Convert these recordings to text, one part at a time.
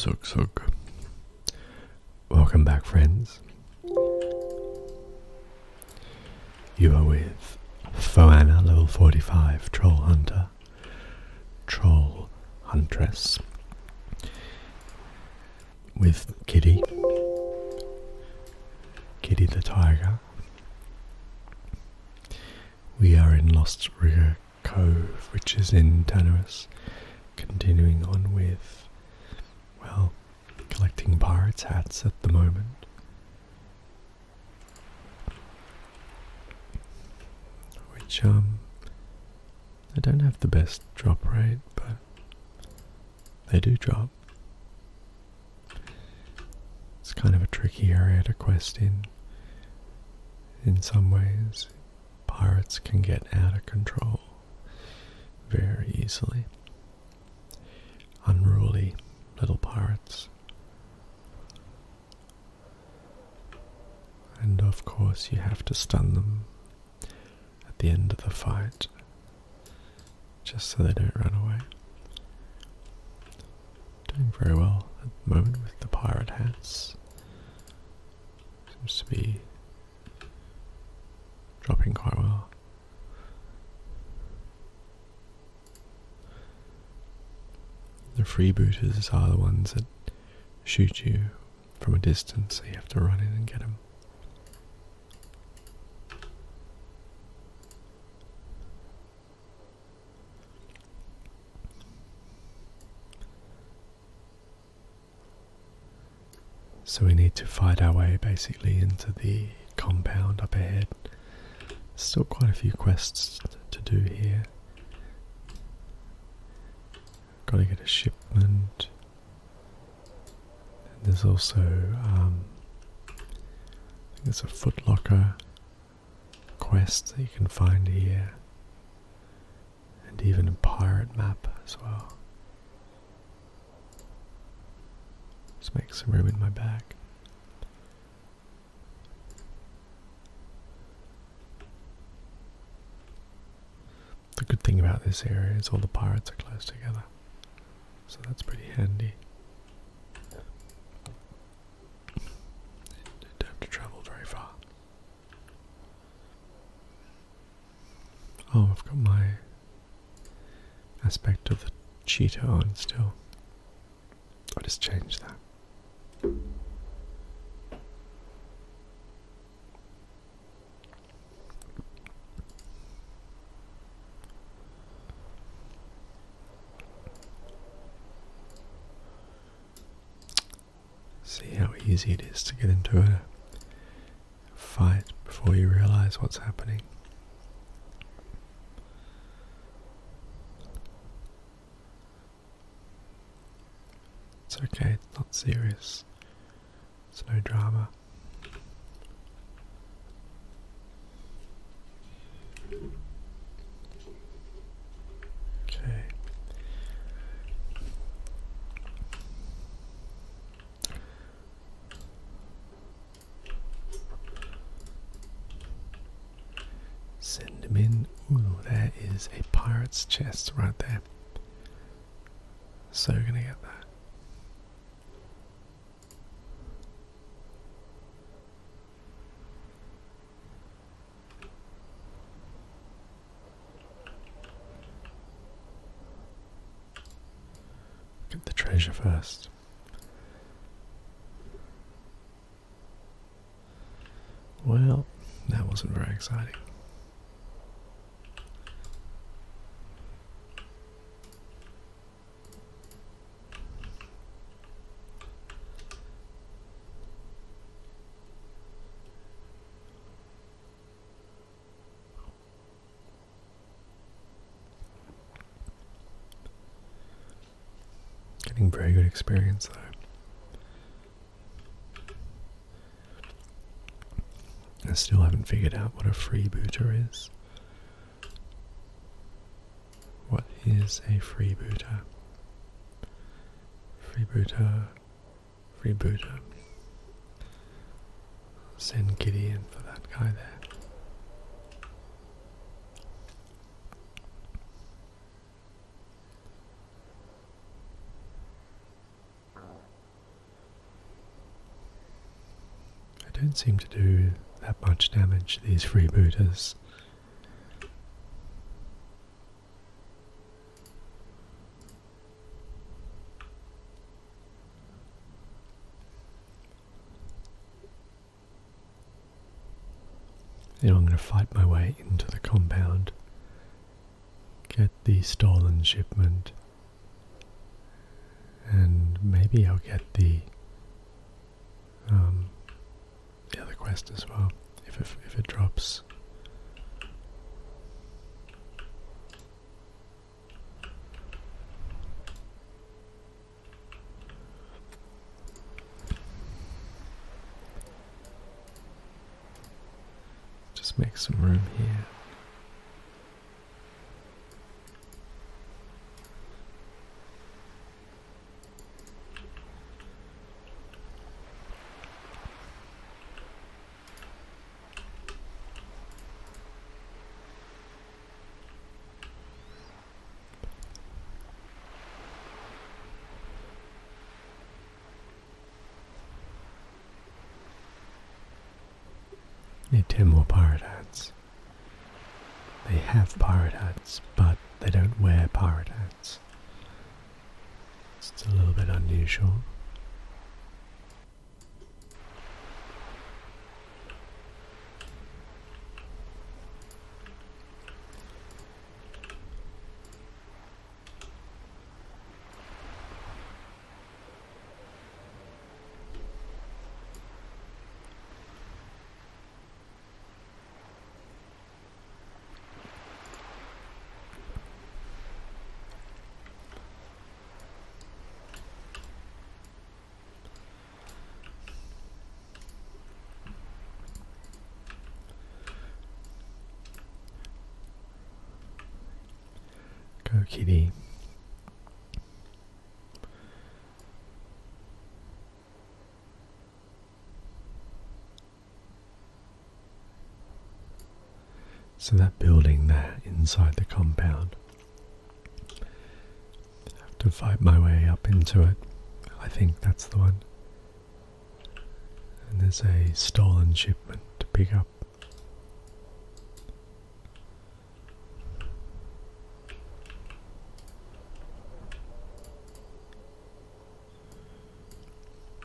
Zuk Zuk. Welcome back, friends. You are with Foana, level 45, Troll Hunter, Troll Huntress, with Kitty, Kitty the Tiger. We are in Lost River cove, which is in Tanarus, continuing on with, well, collecting pirates' hats at the moment. Which, um, they don't have the best drop rate, but they do drop. It's kind of a tricky area to quest in in some ways, pirates can get out of control very easily. Unruly little pirates. And of course, you have to stun them at the end of the fight just so they don't run away. Doing very well at the moment with the pirate hats. Seems to be dropping quite well. The freebooters are the ones that shoot you from a distance, so you have to run in and get them. So we need to fight our way basically into the compound up ahead. Still quite a few quests to do here. Gotta get a shipment. there's also, um, I think there's a footlocker quests that you can find here, and even a pirate map as well. Let's make some room in my bag. The good thing about this area is all the pirates are close together, so that's pretty handy don't have to travel very far. Oh, I've got my aspect of the cheetah on still. I'll just change that. See how easy it is to get into a fight before you realize what's happening. It's okay, it's not serious. It's no drama. Okay. Send him in. Ooh, there is a pirate's chest right there. So we're gonna get that. Get the treasure first. Well, that wasn't very exciting. Getting very good experience though. I still haven't figured out what a freebooter is. What is a freebooter? Freebooter, freebooter. Send Giddy in for that guy there. I don't seem to do that much damage to these freebooters. Now I'm going to fight my way into the compound, get the stolen shipment, and maybe I'll get the um, the other quest as well, if if it drops. Just make some room here. They Timor pirate hats. They have pirate hats, but they don't wear pirate hats. It's, a little bit unusual. Go, kitty. So that building there inside the compound. I have to fight my way up into it. I think that's the one. And there's a stolen shipment to pick up.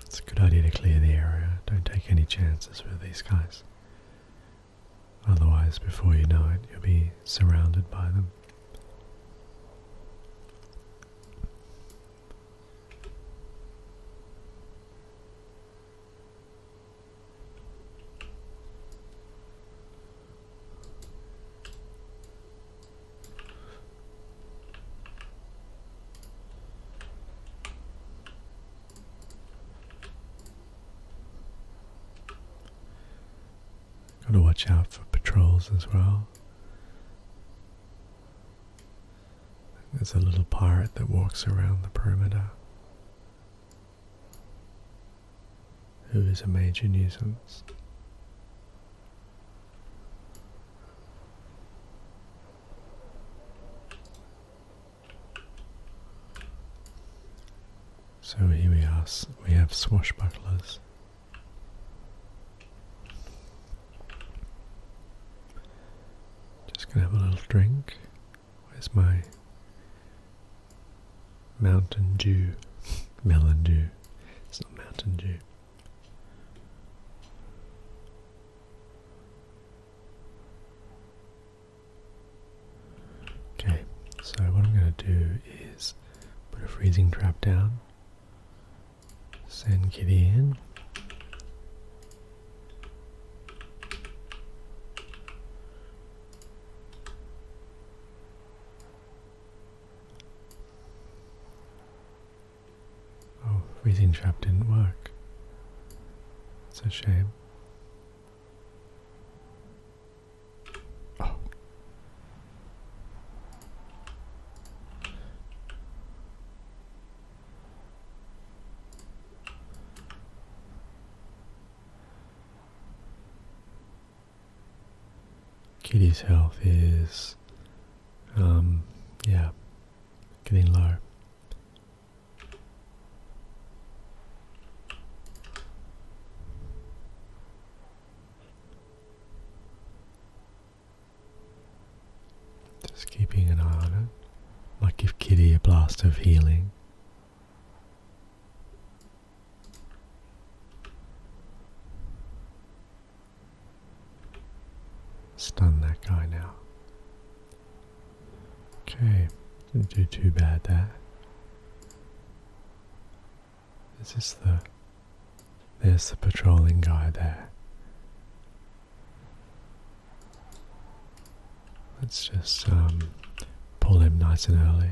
It's a good idea to clear the area. Don't take any chances with these guys. Otherwise, before you know it, you'll be surrounded by them. Gotta watch out for patrols as well. There's a little pirate that walks around the perimeter who is a major nuisance. So here we are, we have swashbucklers. Just gonna have a little drink. Where's my Mountain Dew? Melon Dew. It's not Mountain Dew. Okay, so what I'm going to do is put a freezing trap down, send Kitty in. Oh, freezing trap didn't work. It's a shame. Oh. Kitty's health is, um, yeah, getting low. Just keeping an eye on it. Might give Kitty a blast of healing. Stun that guy now. Okay, didn't do too bad there. Is this the. There's the patrolling guy there. Let's just um, pull him nice and early.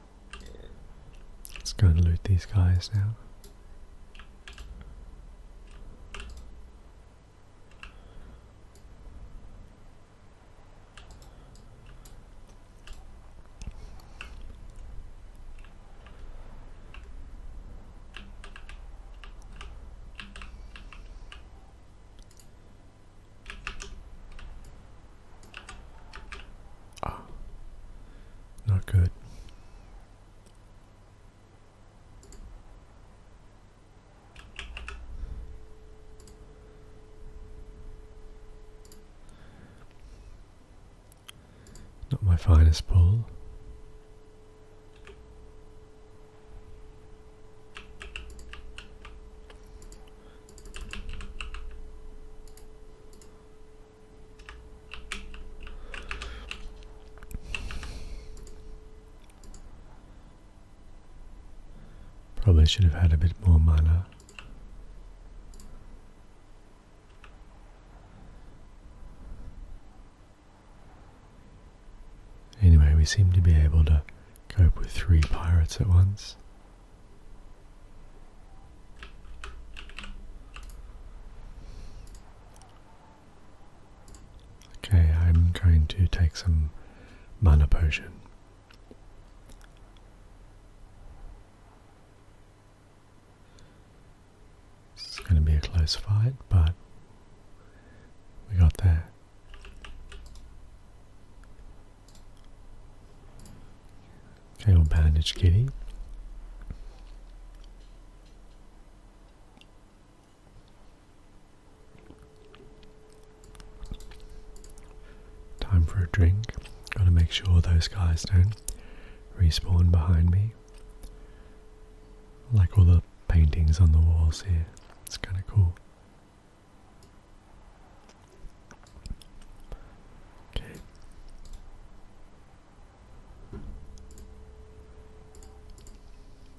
Let's go and loot these guys now. Ah, not good. Not my finest pull. Probably should have had a bit more mana. Anyway, we seem to be able to cope with three pirates at once. Okay, I'm going to take some mana potion. is going to be a close fight, but we got there. Okay, we bandage Kitty. Time for a drink. Gotta make sure those guys don't respawn behind me. Like all the paintings on the walls here. It's kind of cool. Okay.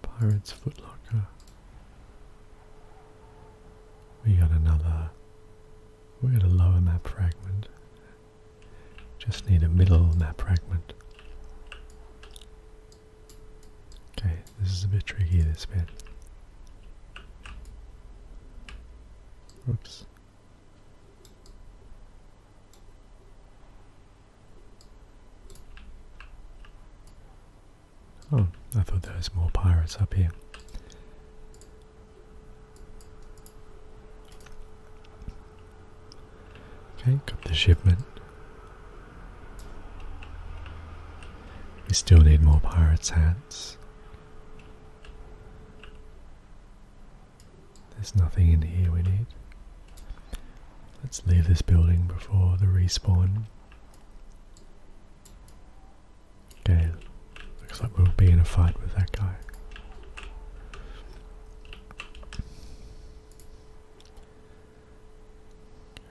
Pirates Footlocker. We got another. We got a lower map fragment. Just need a middle map fragment. Okay, this is a bit tricky, this bit. Oops. Oh, I thought there was more pirates up here. Okay, got the shipment. We still need more pirates' hats. There's nothing in here we need. Let's leave this building before the respawn. Okay, looks like we'll be in a fight with that guy.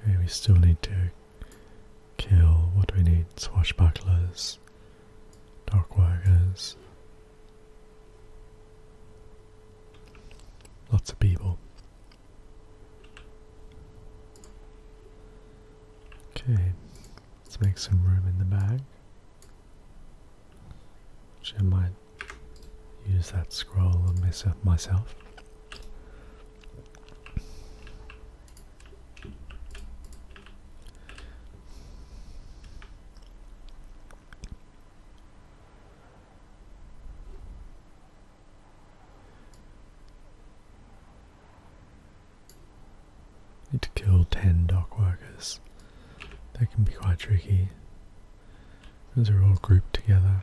Okay, we still need to kill. What do we need? Swashbucklers. Dark workers. Lots of people. Okay, let's make some room in the back. Which I might use that scroll and mess myself. Need to kill 10 dock workers. That can be quite tricky. Those are all grouped together.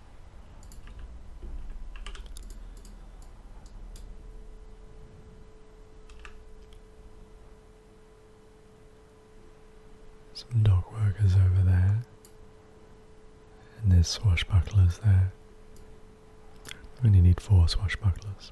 Some dock workers over there, and there's swashbucklers there. We only need four swashbucklers.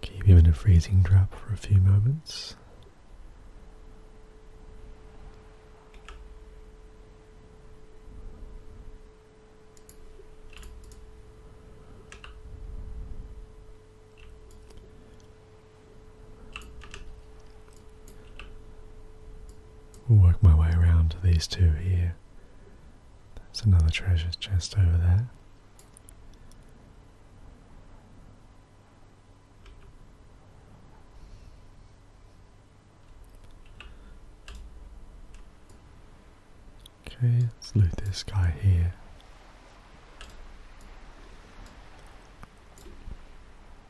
Keep him in a freezing drop for a few moments work my way around to these two here. There's another treasure chest over there. Okay, let's loot this guy here.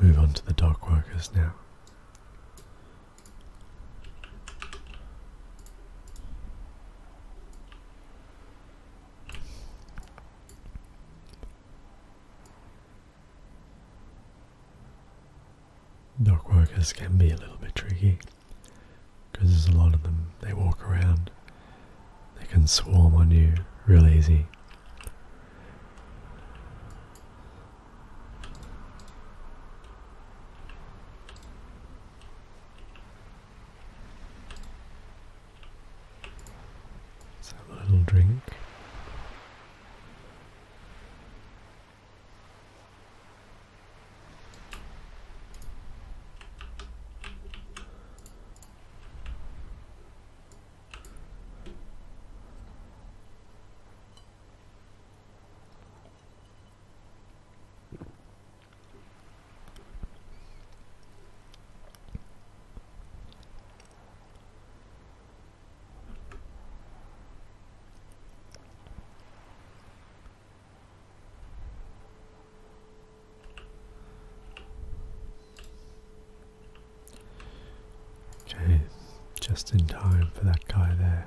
Move on to the dock workers now. Dockworkers can be a little bit tricky because there's a lot of them. They walk around, they can swarm on you real easy. Let's have a little drink. Okay, just in time for that guy there.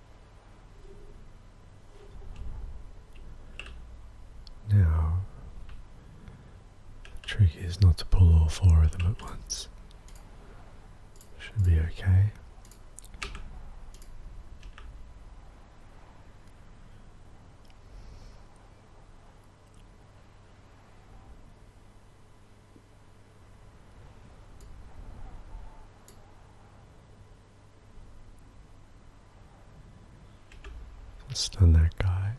Now, the trick is not to pull all four of them at once. Should be okay. Stun that guy.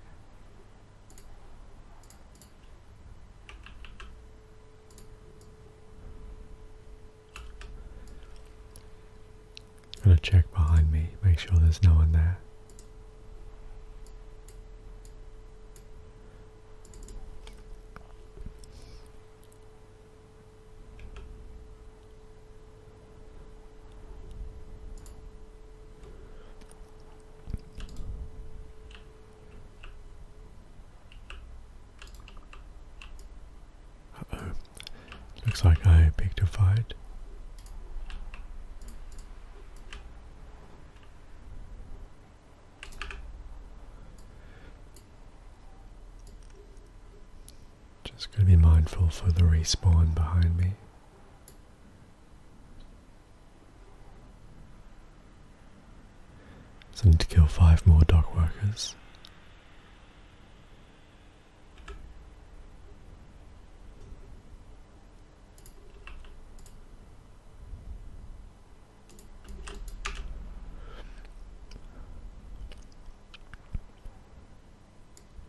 Gonna check behind me, make sure there's no one there oh, looks like I picked a fight. Just going to be mindful for the respawn behind me. So I need to kill five more dock workers.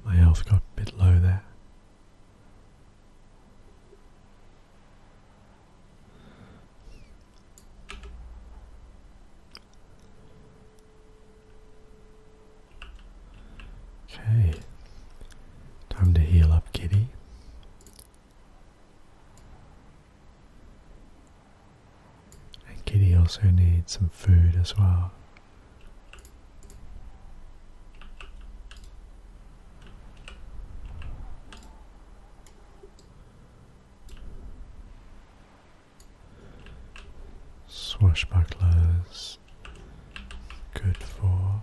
My health got a bit low there. Okay, time to heal up, kitty. And Kitty also needs some food as well. Swashbucklers, good for.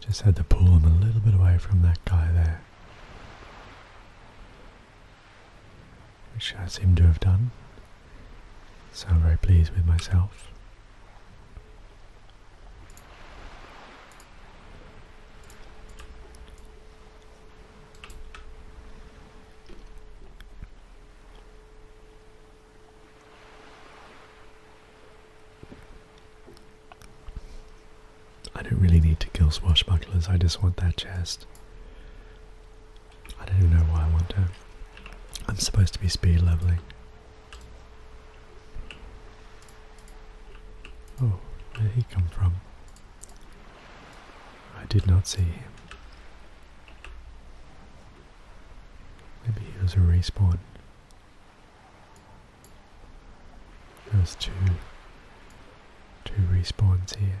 Just had to pull him a little bit away from that guy there which I seem to have done. So I'm very pleased with myself. I don't really need to kill swashbucklers, I just want that chest. I don't know why I want to. I'm supposed to be speed leveling. Oh, where did he come from? I did not see him. Maybe he was a respawn. There's two, two respawns here.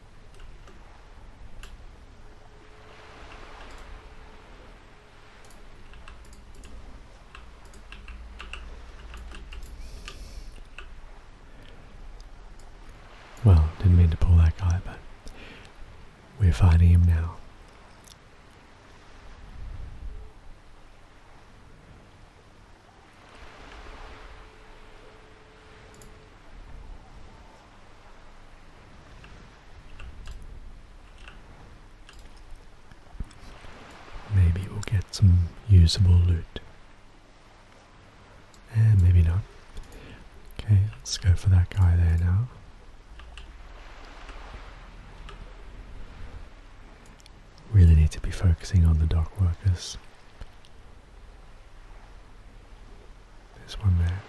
Well, didn't mean to pull that guy, but we're fighting him now. Maybe we'll get some usable loot. Eh, maybe not. Okay, let's go for that guy there now. Really need to be focusing on the dock workers. This one there.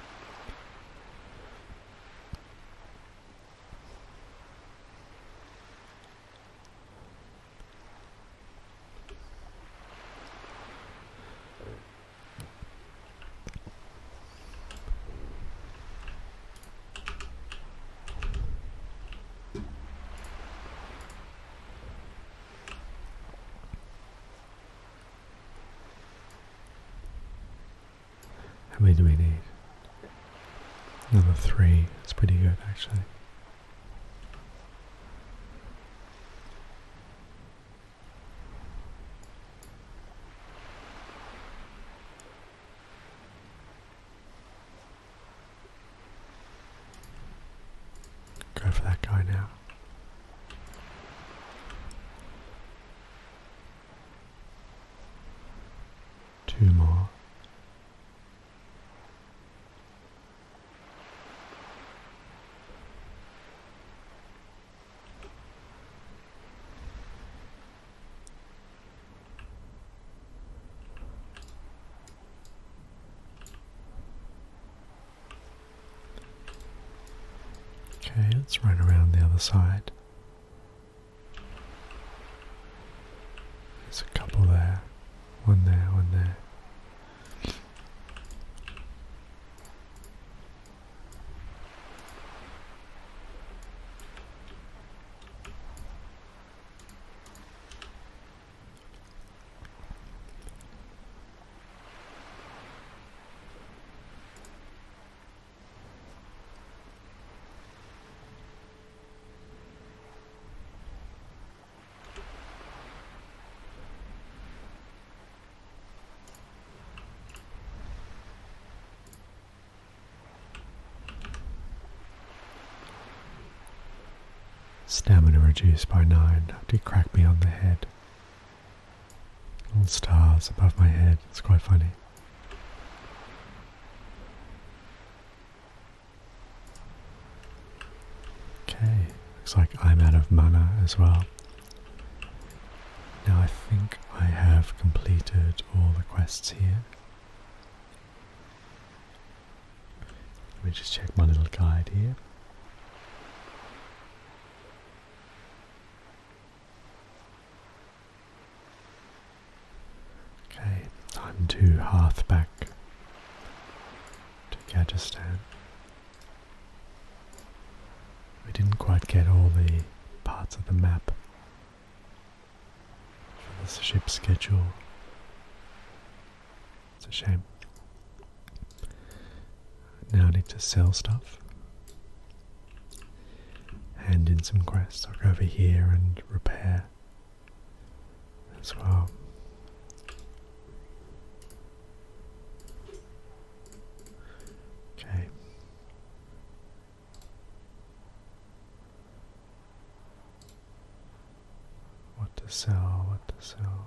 How many do we need? Another three. That's pretty good, actually. Go for that guy now. Two more. Okay, let's run around the other side. There's a couple there. One there, one there. Stamina reduced by 9 after crack me on the head. Little stars above my head. It's quite funny. Okay, looks like I'm out of mana as well. Now I think I have completed all the quests here. Let me just check my little guide here. Okay, time to hearth back to Gajastan. We didn't quite get all the parts of the map for the ship schedule. It's a shame. Now I need to sell stuff. Hand in some quests. I'll go over here and repair as well. Okay. What to sell, what to sell.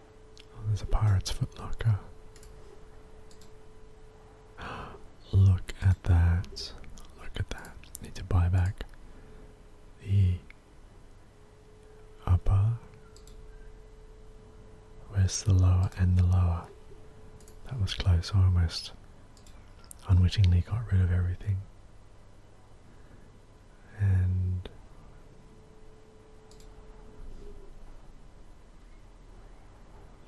Oh, there's a pirate's footlocker. Look at that. Look at that. Need to buy back the upper. Where's the lower and the lower? That was close, almost unwittingly got rid of everything. And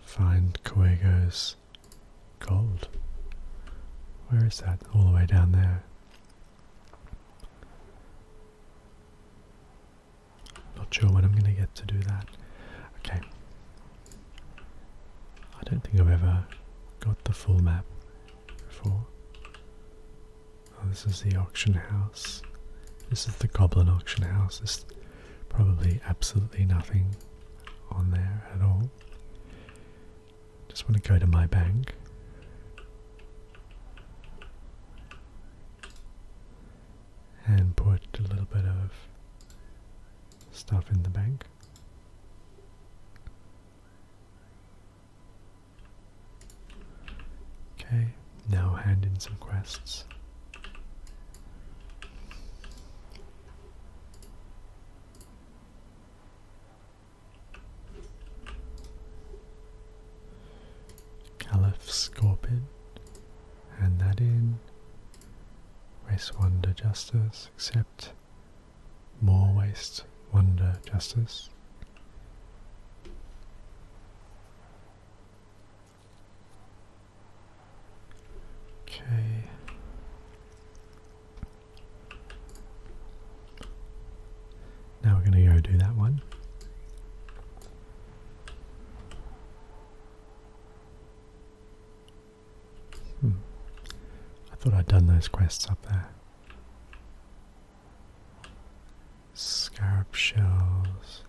Find Coego's gold. Where is that? All the way down there. Not sure when I'm going to get to do that. Okay. I don't think I've ever got the full map before. Oh, this is the auction house. This is the goblin auction house. There's probably absolutely nothing on there at all. Just want to go to my bank. And put a little bit of stuff in the bank. Okay, now hand in some quests. Caliph Scorpion, hand that in. Waste Wonder Justice, accept. More Waste Wonder Justice. Okay. Now we're going to go do that one. Hmm. I thought I'd done those quests up there. Scarp shells.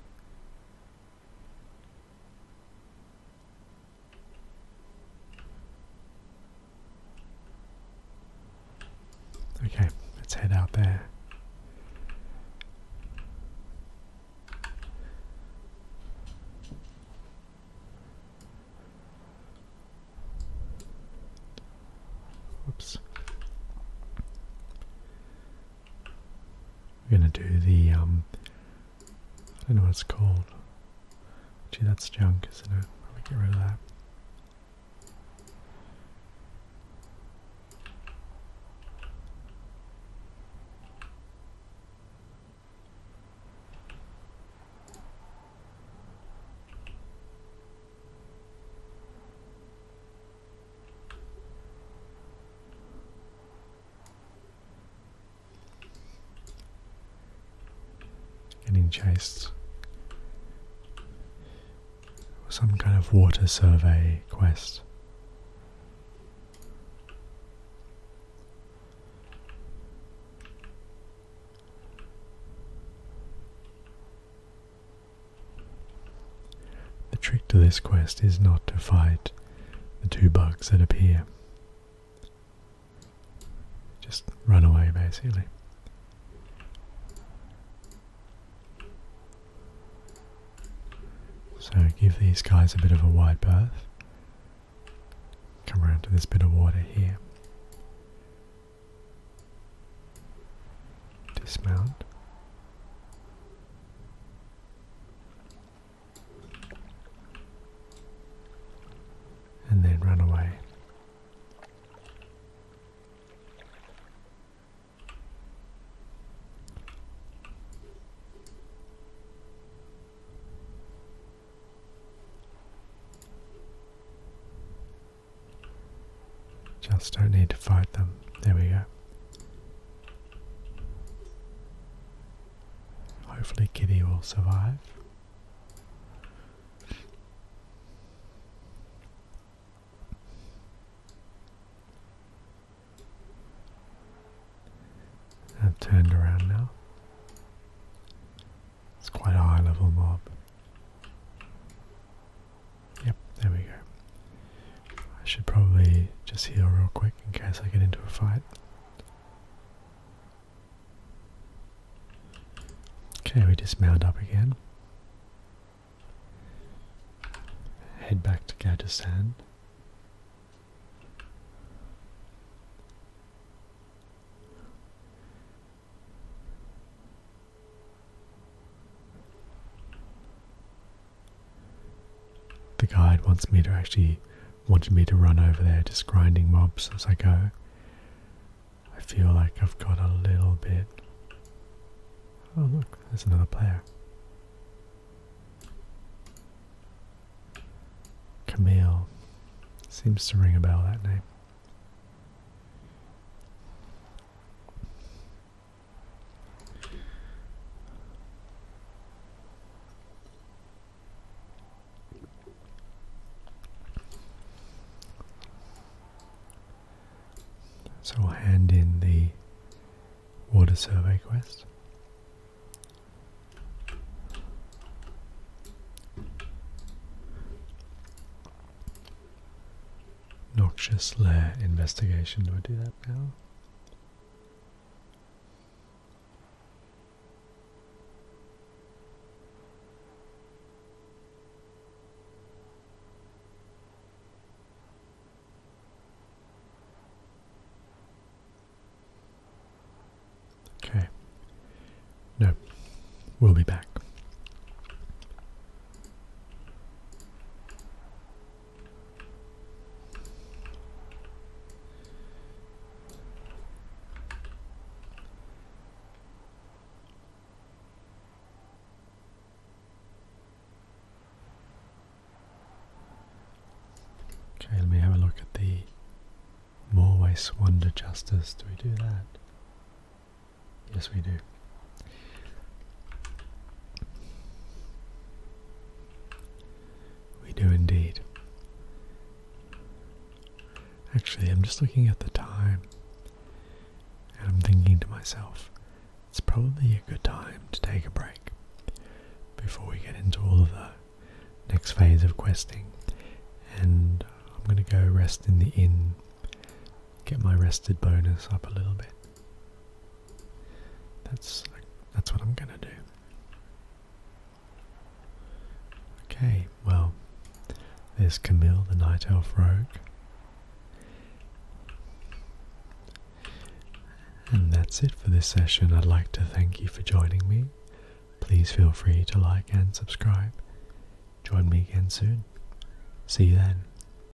Okay, let's head out there. Whoops. We're gonna do the um, I don't know what it's called. Gee that's junk, isn't it? Probably get rid of that. Getting chased. Some kind of water survey quest. The trick to this quest is not to fight the two bugs that appear. Just run away basically. So give these guys a bit of a wide berth. Come around to this bit of water here. Dismount. And then run away. Just don't need to fight them. There we go. Hopefully, Kitty will survive. I've turned around now. It's quite a high level mob. Yep, there we go. I should probably just heal real quick in case I get into a fight. Okay, we just dismount up again. Head back to Gajastan. The guide wants me to actually wanted me to run over there just grinding mobs as I go. I feel like I've got a little bit Oh look, there's another player. Camille. Seems to ring a bell that name. So we'll hand in the water survey quest. Noxious lair investigation. Do I do that now? Okay. No, we'll be back. Okay, let me have a look at the Morway Wonder Justice. Do we do that? Yes, we do. We do indeed. Actually, I'm just looking at the time and I'm thinking to myself, it's probably a good time to take a break before we get into all of the next phase of questing. And I'm going to go rest in the inn get my rested bonus up a little bit. That's that's what I'm gonna do. Okay, well, there's Camille, the night elf rogue, and that's it for this session. I'd like to thank you for joining me. Please feel free to like and subscribe. Join me again soon. See you then.